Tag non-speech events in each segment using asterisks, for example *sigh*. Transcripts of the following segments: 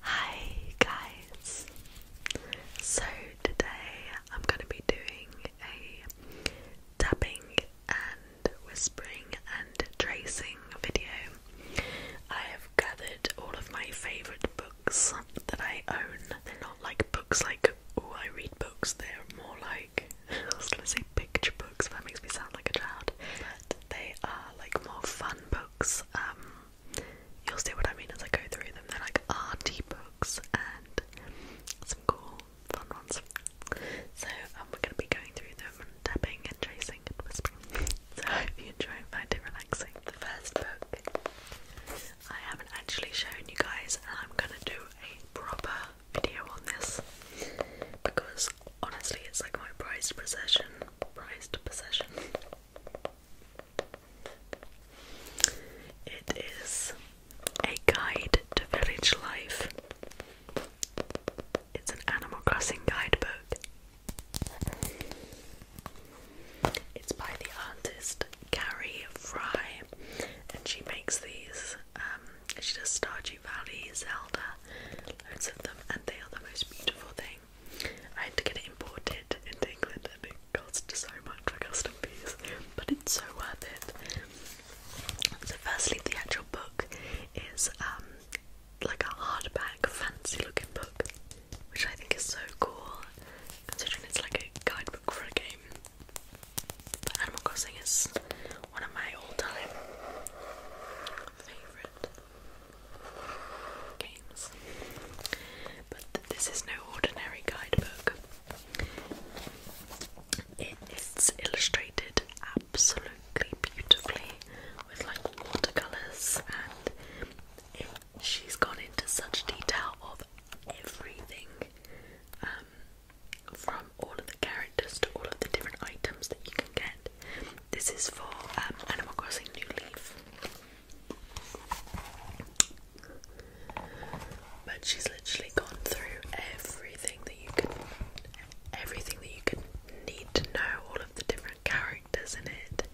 Hi guys! So today I'm going to be doing a tapping and whispering and tracing video. I have gathered all of my favourite books that I own. They're not like books like, oh I read books, they're more like, *laughs* I was going to say picture books, but that makes me sound like a child. But they are like more fun books. Um, you'll see what I mean as I go through them. They're like arty books and some cool, fun ones. So um, we're going to be going through them and tapping and tracing and whispering. *laughs* so if you enjoy and find it relaxing. The first book I haven't actually shown you guys, and I'm going to do a proper video on this because honestly, it's like my prized possession. Prized possession. It is a guide to village life. It's an Animal Crossing guidebook. It's by the artist Carrie Fry, and she makes these. Um, she does Stardew Valley, Zelda, loads of them, and they are the most beautiful. things. I had to get imported into England and it cost so much for custom fees, but it's so worth it. So, firstly, the actual book is um, like a hardback, fancy looking book, which I think is so cool considering it's like a guidebook for a game. Animal Crossing is one of my all time favourite games. But this is no ordinary guidebook. It's illustrated absolutely beautifully with like watercolours, and she's gone into such detail of everything um, from all of the characters to all of the different items that you can get. This is for um, Animal Crossing New Leaf, but she's literally gone through everything that you could, everything that you could need to know, all of the different characters in it,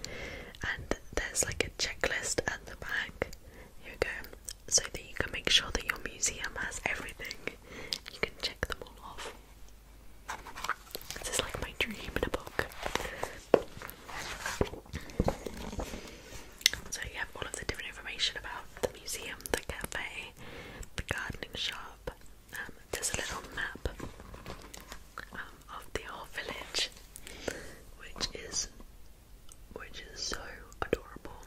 and there's like a checklist at the back. Here we go, so that you can make sure that your museum has everything. You can check them all off. This is like my dream in a book. So you have all of the different information about the museum, the cafe, the gardening shop. Um, there's a little map um, of the whole village, which is which is so adorable.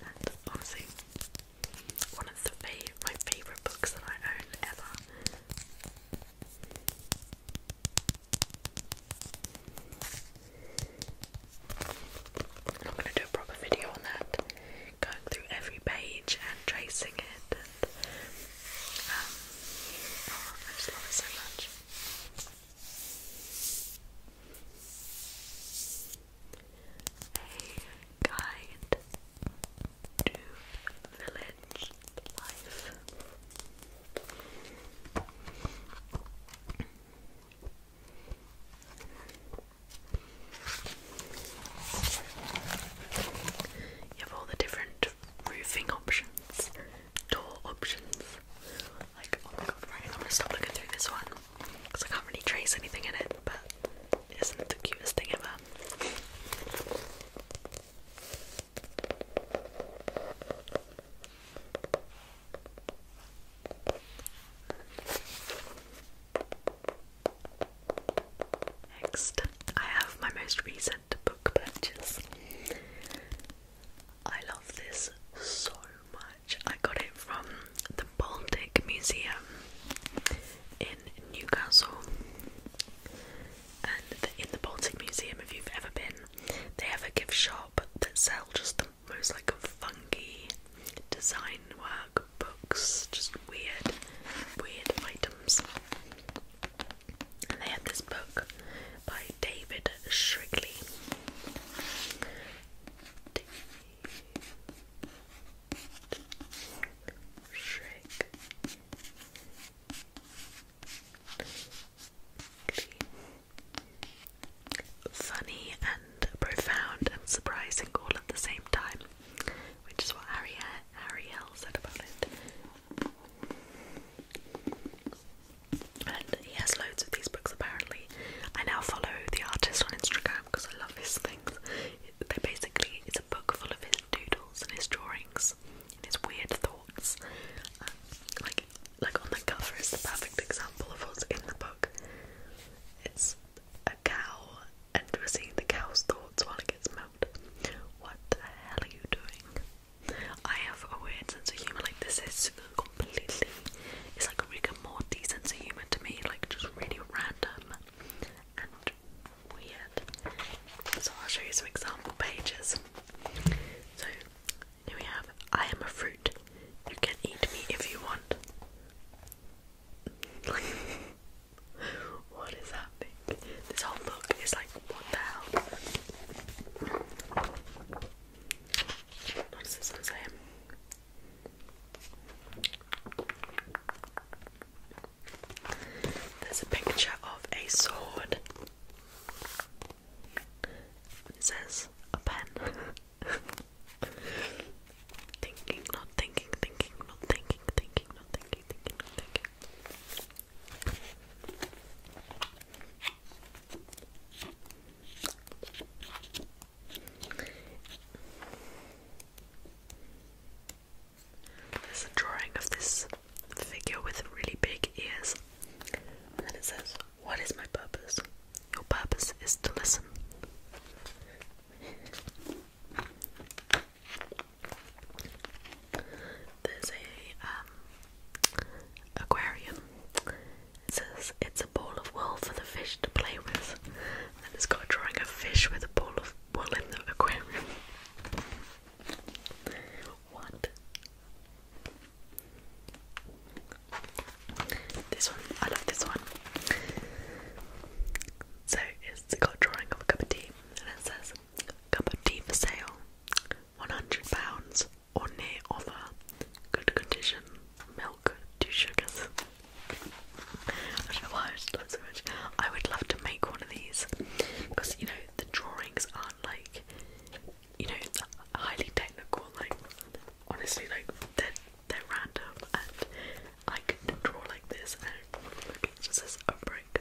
And honestly, one of the my favourite books that I own ever. I'm gonna do a proper video on that, going through every page and tracing it. um, oh, I just love it so much. A guide you have all the different roofing options, door options. Like, oh my god, right, I'm gonna stop looking through this one because I can't really trace anything in it, but isn't it the cutest thing ever? Next, I have my most recent book purchase. I love this so much. I got it from the Baltic Museum in Newcastle. And in the Baltic Museum, if you've ever been, they have a gift shop that sell just the most like funky design work books, just weird, weird items. And they had this book by David Shrigley. David Shrigley. Funny and profound and surprising all at the same time, which is what Harry Ariel said about it. And he has loads of these books apparently. I now follow the artist on Instagram because I love his things. They basically it's a book full of his doodles and his drawings and his weird thoughts. Um, like, like on the cover is the perfect example of what's in the book. It's a cow, and we're seeing the cow's thoughts while it gets milked. What the hell are you doing? I have a weird sense of humour. Like this is completely, it's like a Rick more Morty sense of humour to me. Like just really random so I'll show you some example pages. So here we have I am a fruit. You can eat me if you want. *laughs* what is happening? This whole book is like what the hell? this one say? There's a picture of a sword. It says a pen. *laughs* thinking, not thinking, thinking, not thinking, thinking, not thinking, thinking, not thinking. There's a drawing of this figure with really big ears. And then it says, What is my purpose? Your purpose is to listen. There's a um, aquarium. It says it's a ball of wool for the fish to play with. And it's got a drawing of fish with a ball of wool in the aquarium. What? This one, I love this one. So it's got drawing of a cup of tea and it says cup of tea for sale. £100 or near offer. Good condition. Milk, two sugars. I don't much. I would love to make one of these because you know the drawings aren't like you know highly technical. Like honestly, like they're they're random, and I could draw like this, and it probably would be just as a brick.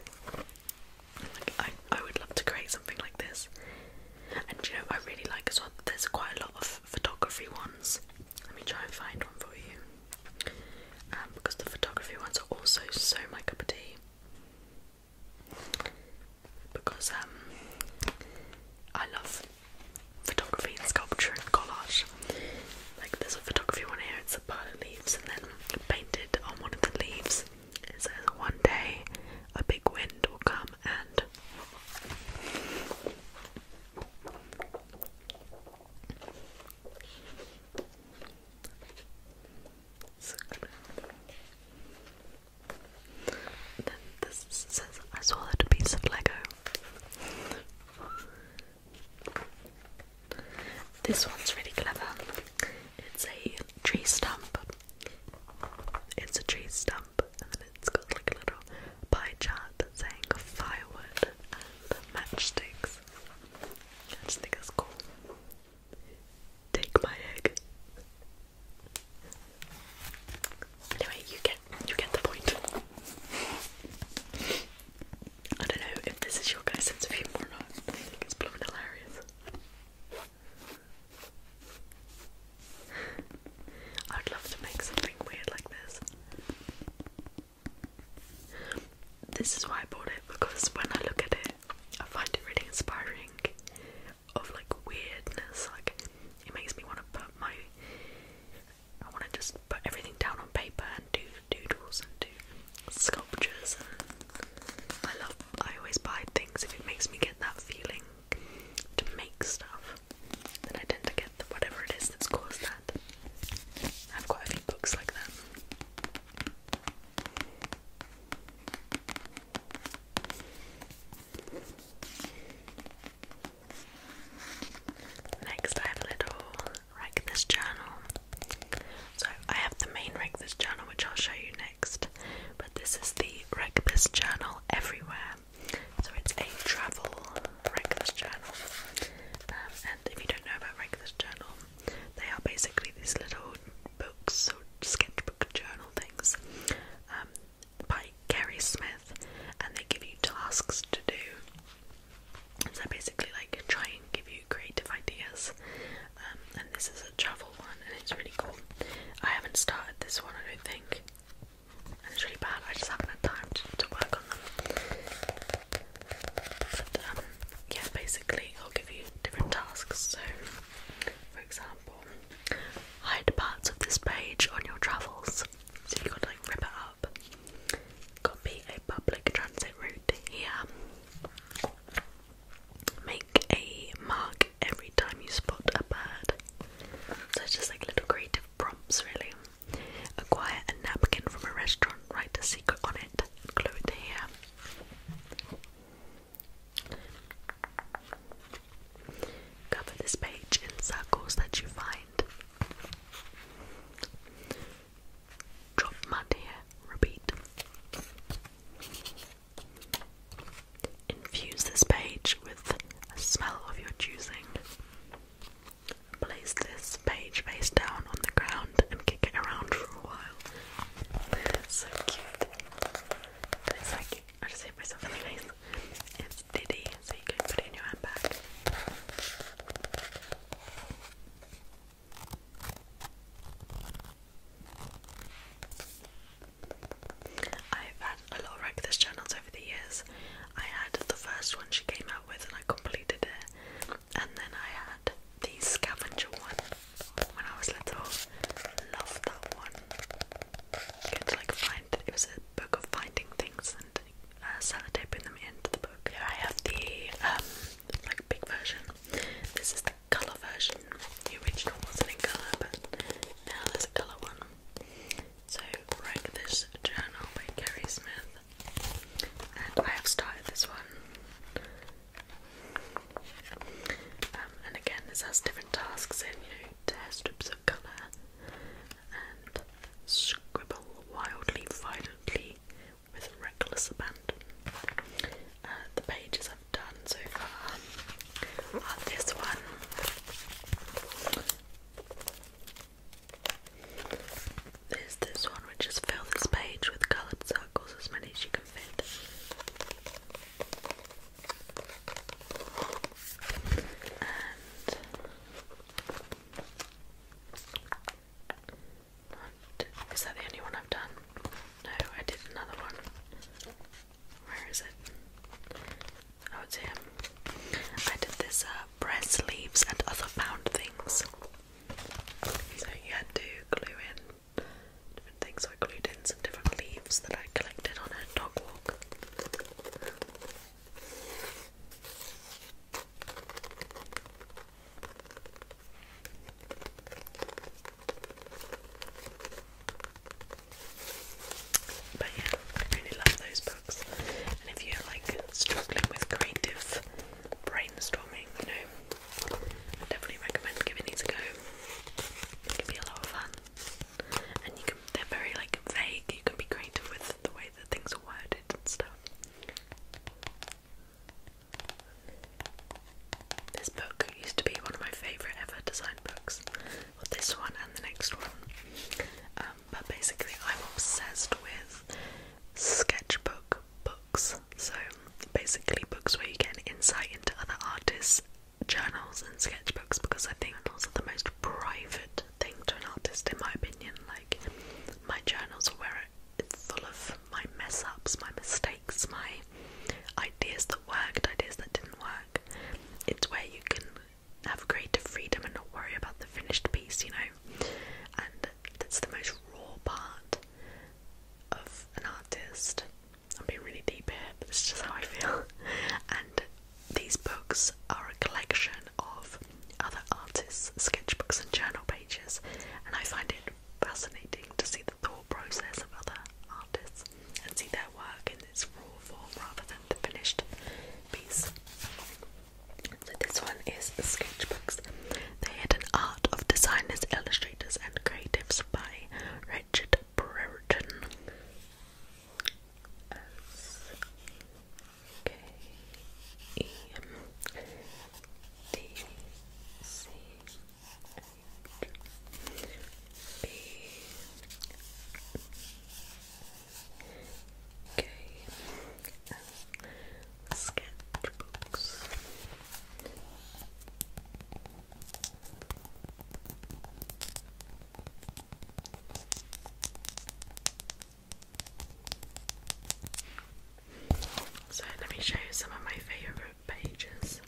Like I, I would love to create something like this. And you know I really like as well. There's quite a lot of photography ones. Let me try and find one for you. Um, because the photography ones are also so my cup of tea. Because um, I love photography and sculpture and collage. Like there's a photography one here, it's a pile of leaves, and then painted on one of the leaves it says, "One day, a big wind will come and." then this says I swallowed a piece of Lego. This one's really clever. It's a tree stump. It's a tree stump, and then it's got like a little pie chart saying firewood and matchsticks. I just think that's cool. Take my egg. Anyway, you get you get the point. I don't know if this is your guys' sense of humor or not. I think it's blooming hilarious. I'd love to make something weird like this. This is why I bought it because when I look at it, I find it really inspiring of like weirdness. Like it makes me want to put my I want to just put everything down on paper and do doodles and do sculptures. I love. I always buy things if it makes me get that feeling to make stuff. Then I tend to get whatever it is that's caused that. I have got a few books like that. Next, I have a little Wreck Journal. So, I have the main Wreck Journal, which I'll show you next, but this is the Wreck Journal Everywhere. So, it's a travel Wreck Journal. Um, and if you don't know about Wreck Journal, they are basically these little books, or sketchbook journal things, um, by Gary Smith, and they give you tasks to do. So basically, like try and give you creative ideas. Um, and this is a travel one, and it's really cool. I haven't started this one, I don't think. And it's really bad. I just haven't had time to work on them. But, um, yeah, basically, it'll give you different tasks. So, for example, hide parts of this page on your travels. So you gotta like rip it up. Copy a public transit route here. Make a mark every time you spot a bird. So it's just like little creative prompts, really. Acquire a napkin from a restaurant, write a secret on it, glue it here. Cover this page in circles that you find. Drop mud here, repeat. Infuse this page with a smell of your choosing. Place this page face down on the ground and kick it around for a while so cute. it's like, I just hit myself in It's Diddy, so you can put in your handbag. I've had a lot of Reckless journals over the years. I had the first one she came out with and I completed it. And then I had the scavenger one when I was little. Loved that one. You to like find it was a book of finding things and uh, sellotaping them into the book. Here I have the um like big version. This is the colour version. The original wasn't in colour, but now there's a colour one. So write this journal by Kerry Smith. And I have started this one. Um, and again, this has different tasks in, you tear strips of colour and scribble wildly, violently, with reckless abandon. Uh, the pages I've done so far are this one. There's this one which is fill this page with coloured circles as many as you can outfit. And is that the only one I've done? No, I did another one. Where is it? Oh, it's I did this uh, breast sleeves and other found things. So you had to glue in different things. I glued in some different leaves that I collected on a dog walk. But yeah, I really love those books. And if you're like struggling with creative brainstorming, you know, I definitely recommend giving these a go. It can be a lot of fun, and you can—they're very like vague. You can be creative with the way that things are worded and stuff. This book used to be one of my favourite ever design books. with this one and the next one. Um, but basically, I'm obsessed with sketchbook books. So basically, books where you get an insight into other artists' journals and sketchbooks because I think those are the most private thing to an artist, in my opinion. Like my journals are where it's full of my mess ups, my mistakes, my ideas that worked, ideas that didn't work. It's where you can have creative freedom and not worry about the finished piece, you know. And that's the most raw part of an artist. I'm being really deep here, but it's just how I feel. *laughs* And these books are a collection of other artists' sketchbooks and journal pages, and I find it fascinating to see the thought process of other artists and see their work in this raw form rather than the finished piece. So, this one is Sketchbooks had an Art of Designers' Illustrations illustrators and creatives by Richard Brereton sketchbooks. So let me show you some of my favourite pages.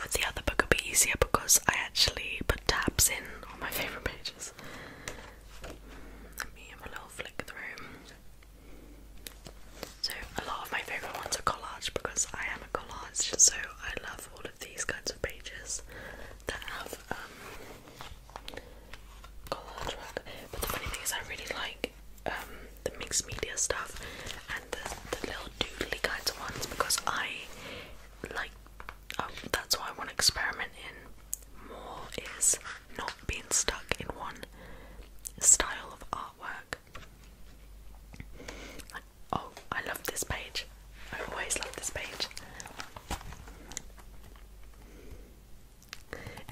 With the other book, it'll be easier because I actually put tabs in on my favourite pages. Let me have a little flick through. So a lot of my favourite ones are collage because I am a collage, so I love all of these kinds of pages that have um, collage work. But the funny thing is, I really like um, the mixed media stuff and the, little doodly kinds of ones because I like. Oh, that's why I want to experiment in more is not being stuck in one style of artwork. oh, I love this page. I always love this page.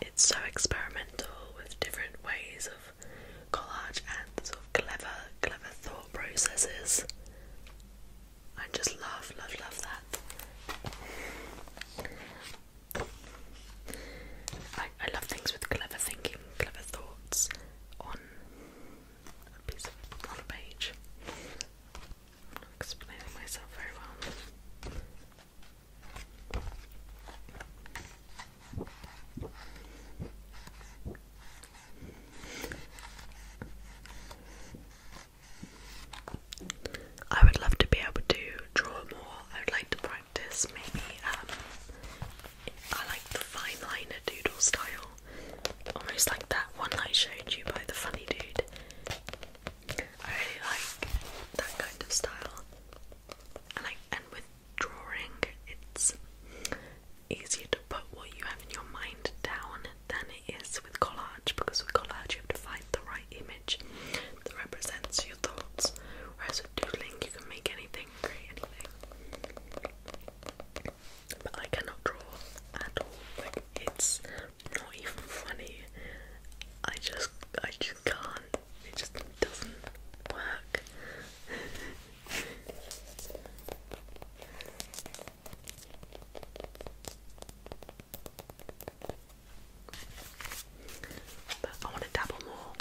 It's so experimental with different ways of collage and sort of clever, clever thought processes. I just love, love, love that. I, I love things with clever thinking, clever thoughts on a piece of on a page. not explaining myself very well. I would love to be able to draw more. I would like to practice maybe um I like the fine liner doodle style. Almost like that one I showed you by the funny dude. I really like that kind of style. and with drawing it's easier to put what you have in your mind down than it is with collage because with collage you have to find the right image that represents your thoughts. Whereas with doodling, you can make anything, create anything. But I cannot draw at all. Like it's not even funny. I just, I just can't. It just doesn't work. *laughs* But I want to dabble more.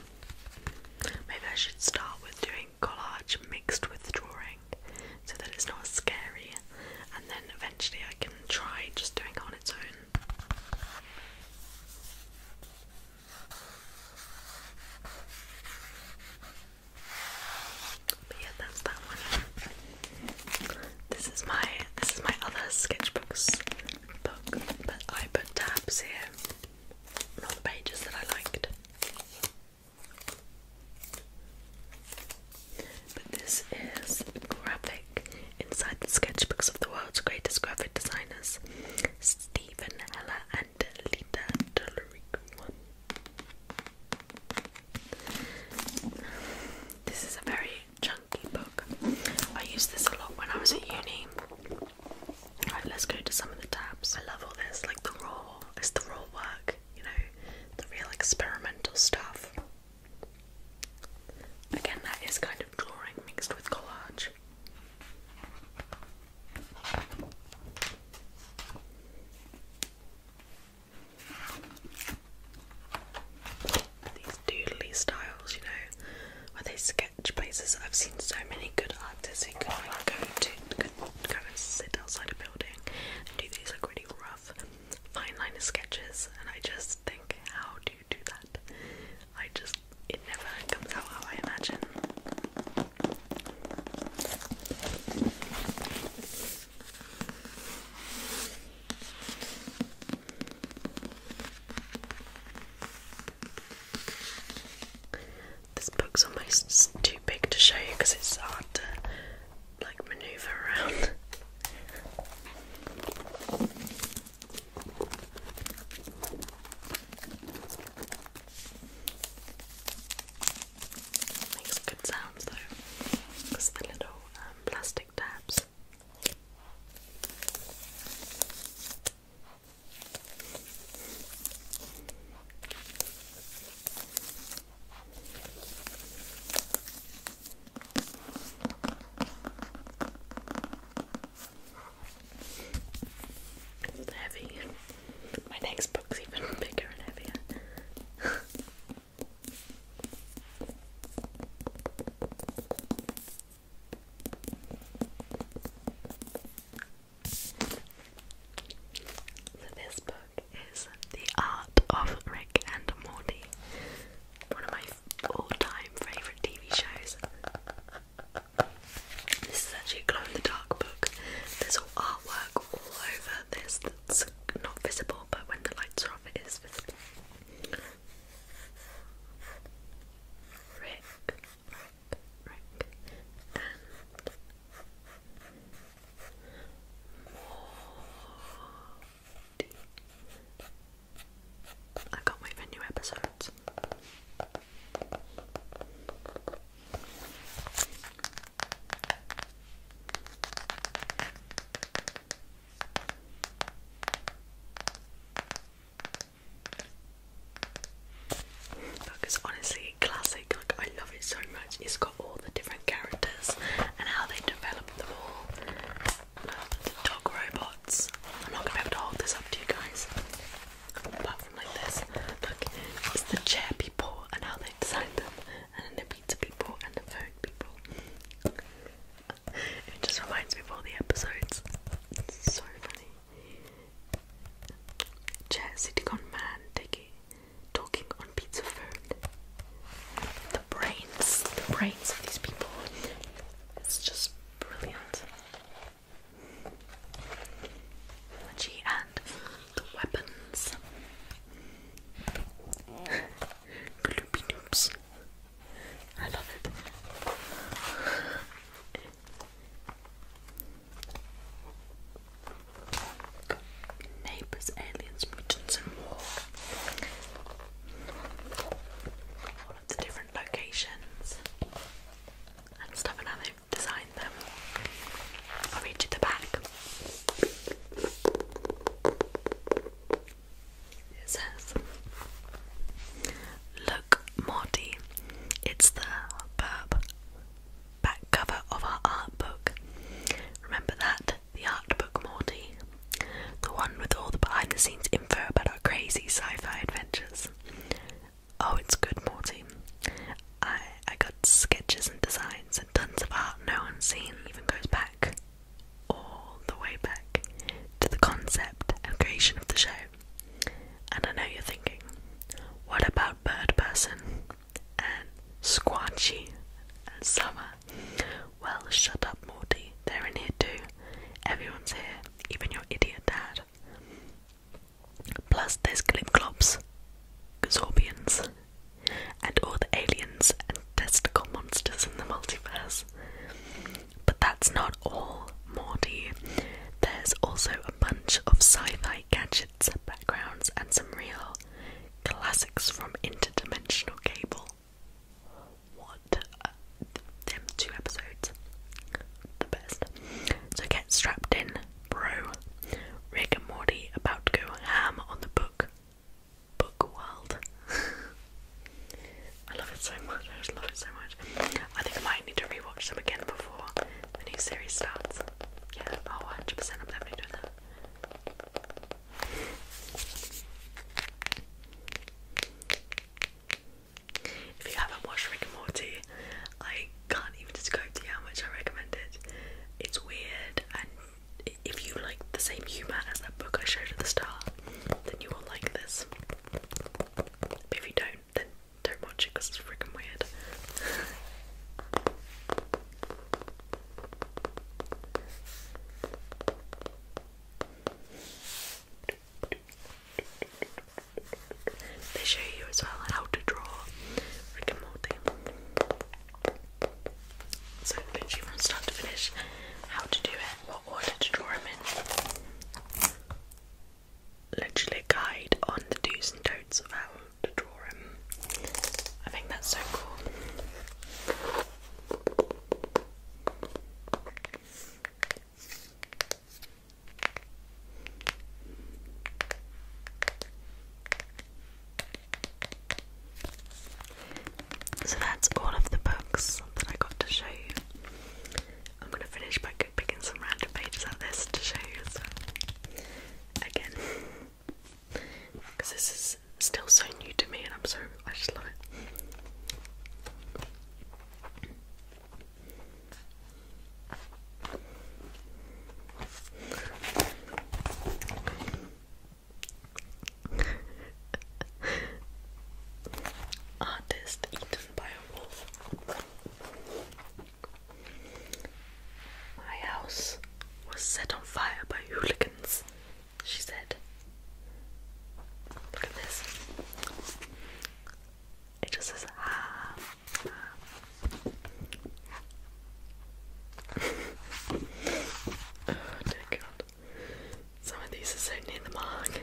Maybe I should start with doing collage mixed with drawing so that it's not scary, and then eventually I can try just doing it on its own. But yeah, that's that one. This is my this is my other sketchbooks book, but I put tabs here on the pages that I liked. But this is graphic inside the sketchbooks of the world's greatest graphic designers, Stephen Heller and Lita Tolerico. This is a very chunky book. I used this a lot when I was at uni. Alright, let's go to some of the tabs. I love all this, like the raw, it's the raw work, you know, the real experimental stuff. Again, that is kind of drawing mixed with collage doodly styles, you know, where they sketch places. I've seen so many good artists who could like go to could go and sit outside a building and do these like really rough fine liner sketches and I just think how do you do that? I just it never comes out how I imagine. This book's almost too big to show you because it's hard to like maneuver around. *laughs* Makes good sounds though, because little um, plastic tabs. This is heavy. My next book's even *laughs* bigger and heavier. *laughs* So this book is The Art of Rick and Morty, one of my all-time favourite TV shows. This is actually a glow in the dark book. There's all artwork all over this that's not visible, but when the lights are off, it is visible. Rick, Rick, and Morty. I can't wait for new episodes. Because honestly, classic, like I love it so much. It's got all the different characters and how they develop them all. the dog robots. I'm not gonna be able to hold this up to you guys. Apart from like this. Look, it's the chair people and how they designed them, and the pizza people and the phone people it just reminds me of all the episodes. It's so funny. Chair sitting man taking talking on pizza phone. The brains, the brains of these people. It's just brilliant. Technology and the weapons. *laughs* Gloopy noobs. I love it. Neighbours, aliens, mutants, and more. All of the different locations and stuff, and how they've them. I'll read you the back. It says, Look, Morty, it's the back cover of our art book. Remember that? The art book, Morty. The one with all the behind the scenes info about our crazy sci fi adventures. Oh, it's good, Morty. I I got sketches and designs and tons of art no one's seen. Even goes back all the way back to the concept and creation of the show. And I know you're thinking, what about Bird Person and Squatchy and Summer? Well, shut up, Morty. They're in here too. Everyone's here, even your idiot dad. Plus, there's Glimclops, Gazorbians, and all the aliens and testicle monsters in the multiverse. But that's not all, Morty. There's also a bunch of sci fi gadgets, backgrounds, and some real classics from Interdimensional Cable. What? them two episodes. The best. So get strapped in, bro. Rick and Morty about to go ham on the book. Book world. *laughs* I love it so much. I just love it so much. I think I might need to rewatch them again before the new series starts. Yeah, oh, 100%. I'm definitely doing that. If you haven't watched Rick and Morty, I can't even describe to you how much I recommend it. It's weird, and if you like the same humour as that book I showed at the start, then you will like this if you don't, then don't watch it because it's freaking weird. They show you as well how to draw So from start to finish, how to do it. Literally guide on the do's and don'ts of how to draw them. I think that's so cool. So that's all of the books that I got to show you. I'm gonna finish by picking some random pages out of this to show you Again. Because *laughs* this is still so new to me and I'm so I just love it. *laughs* Artist my house was set on fire by hooligans, she said. Look at this. It just says, ah. *laughs* oh dear God. Some of these are so near the mark.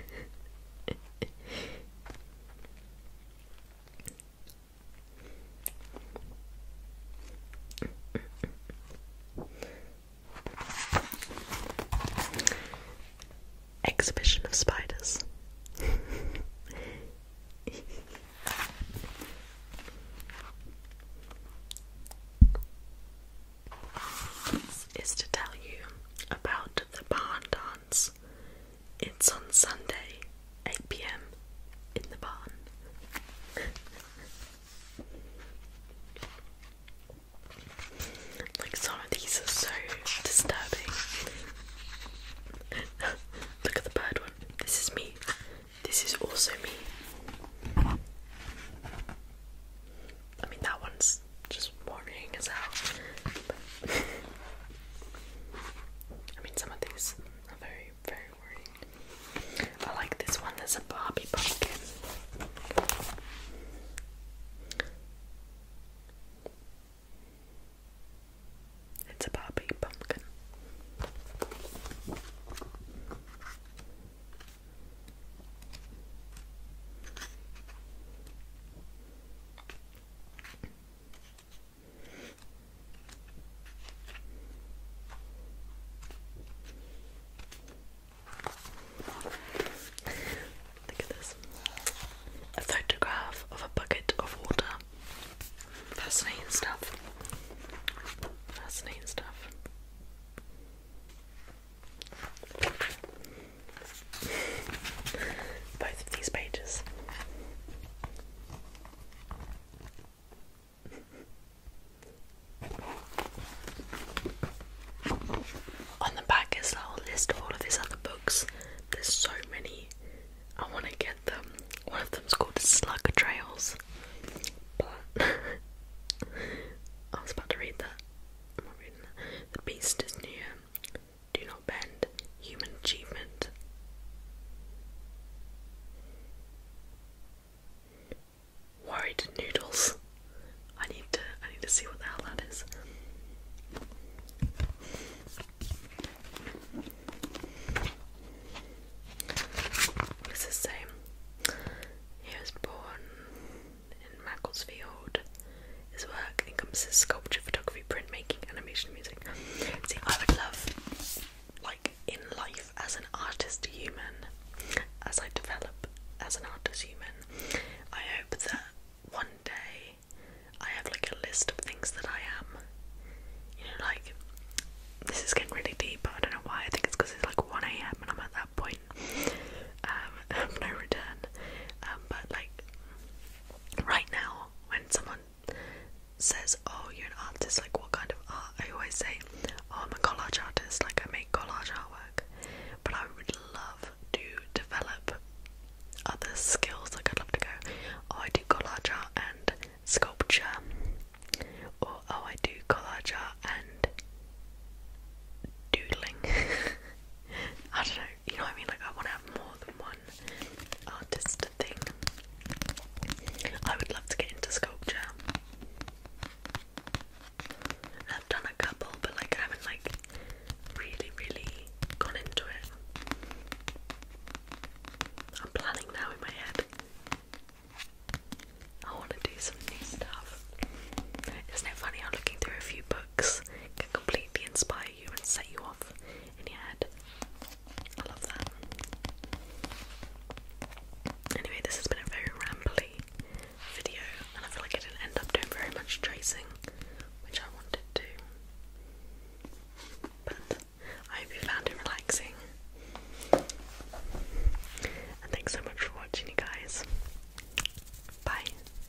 Exhibition of spiders is to tell you about the barn dance. It's on Sunday, 8 pm, in the barn. *laughs* like, some of these are so disturbing. *laughs* Look at the bird one. This is me. This is also me. I mean, that one's just worrying as hell. I mean, some of these are very, very worrying. I like this one. There's a Barbie pumpkin. It's a Barbie pumpkin. Look at this. A photograph of a bucket of water. Fascinating stuff. Fascinating stuff. Both of these pages. On the back is a whole list of all of his other books. There's so many. I want to get them. One of them's called Slug Trails. *laughs* I was about to read that. I'm not reading that. The Beast is Near do not bend human achievement. Worried noodles. I need to I need to see what the hell that is. What does it He was born in Macclesfield. His work encompasses sculpture, photography, printmaking, animation, music. See, I would love, like, in life as an artist human, as I develop as an artist human, I hope that one day I have like a list of things that I am. You know, like, this is getting really deep, but I don't know why. I think it's because it's like 1am and I'm at that point um, *laughs* no return. Um, but like, right now when someone says, "Oh, you're an artist," like what kind of art? I always say, "Oh, I'm a collage artist," like I make collage artwork. But I would love to develop other skills. Like I'd love to go, "Oh, I do collage art and sculpture," or "Oh, I do collage art and doodling." *laughs* I don't know, you know what I mean? Like, I want to have more than one artist thing. I would love to get into sculpture. I've done a couple, but like, I haven't like really, really gone into it. I'm planning now in my head. I want to do some new stuff. Isn't it funny how looking through a few books can completely inspire you and set you off in your head. I love that. Anyway, this has been a very rambly video, and I feel like I didn't end up doing very much tracing, which I wanted to. But I hope you found it relaxing. And thanks so much for watching, you guys. Bye.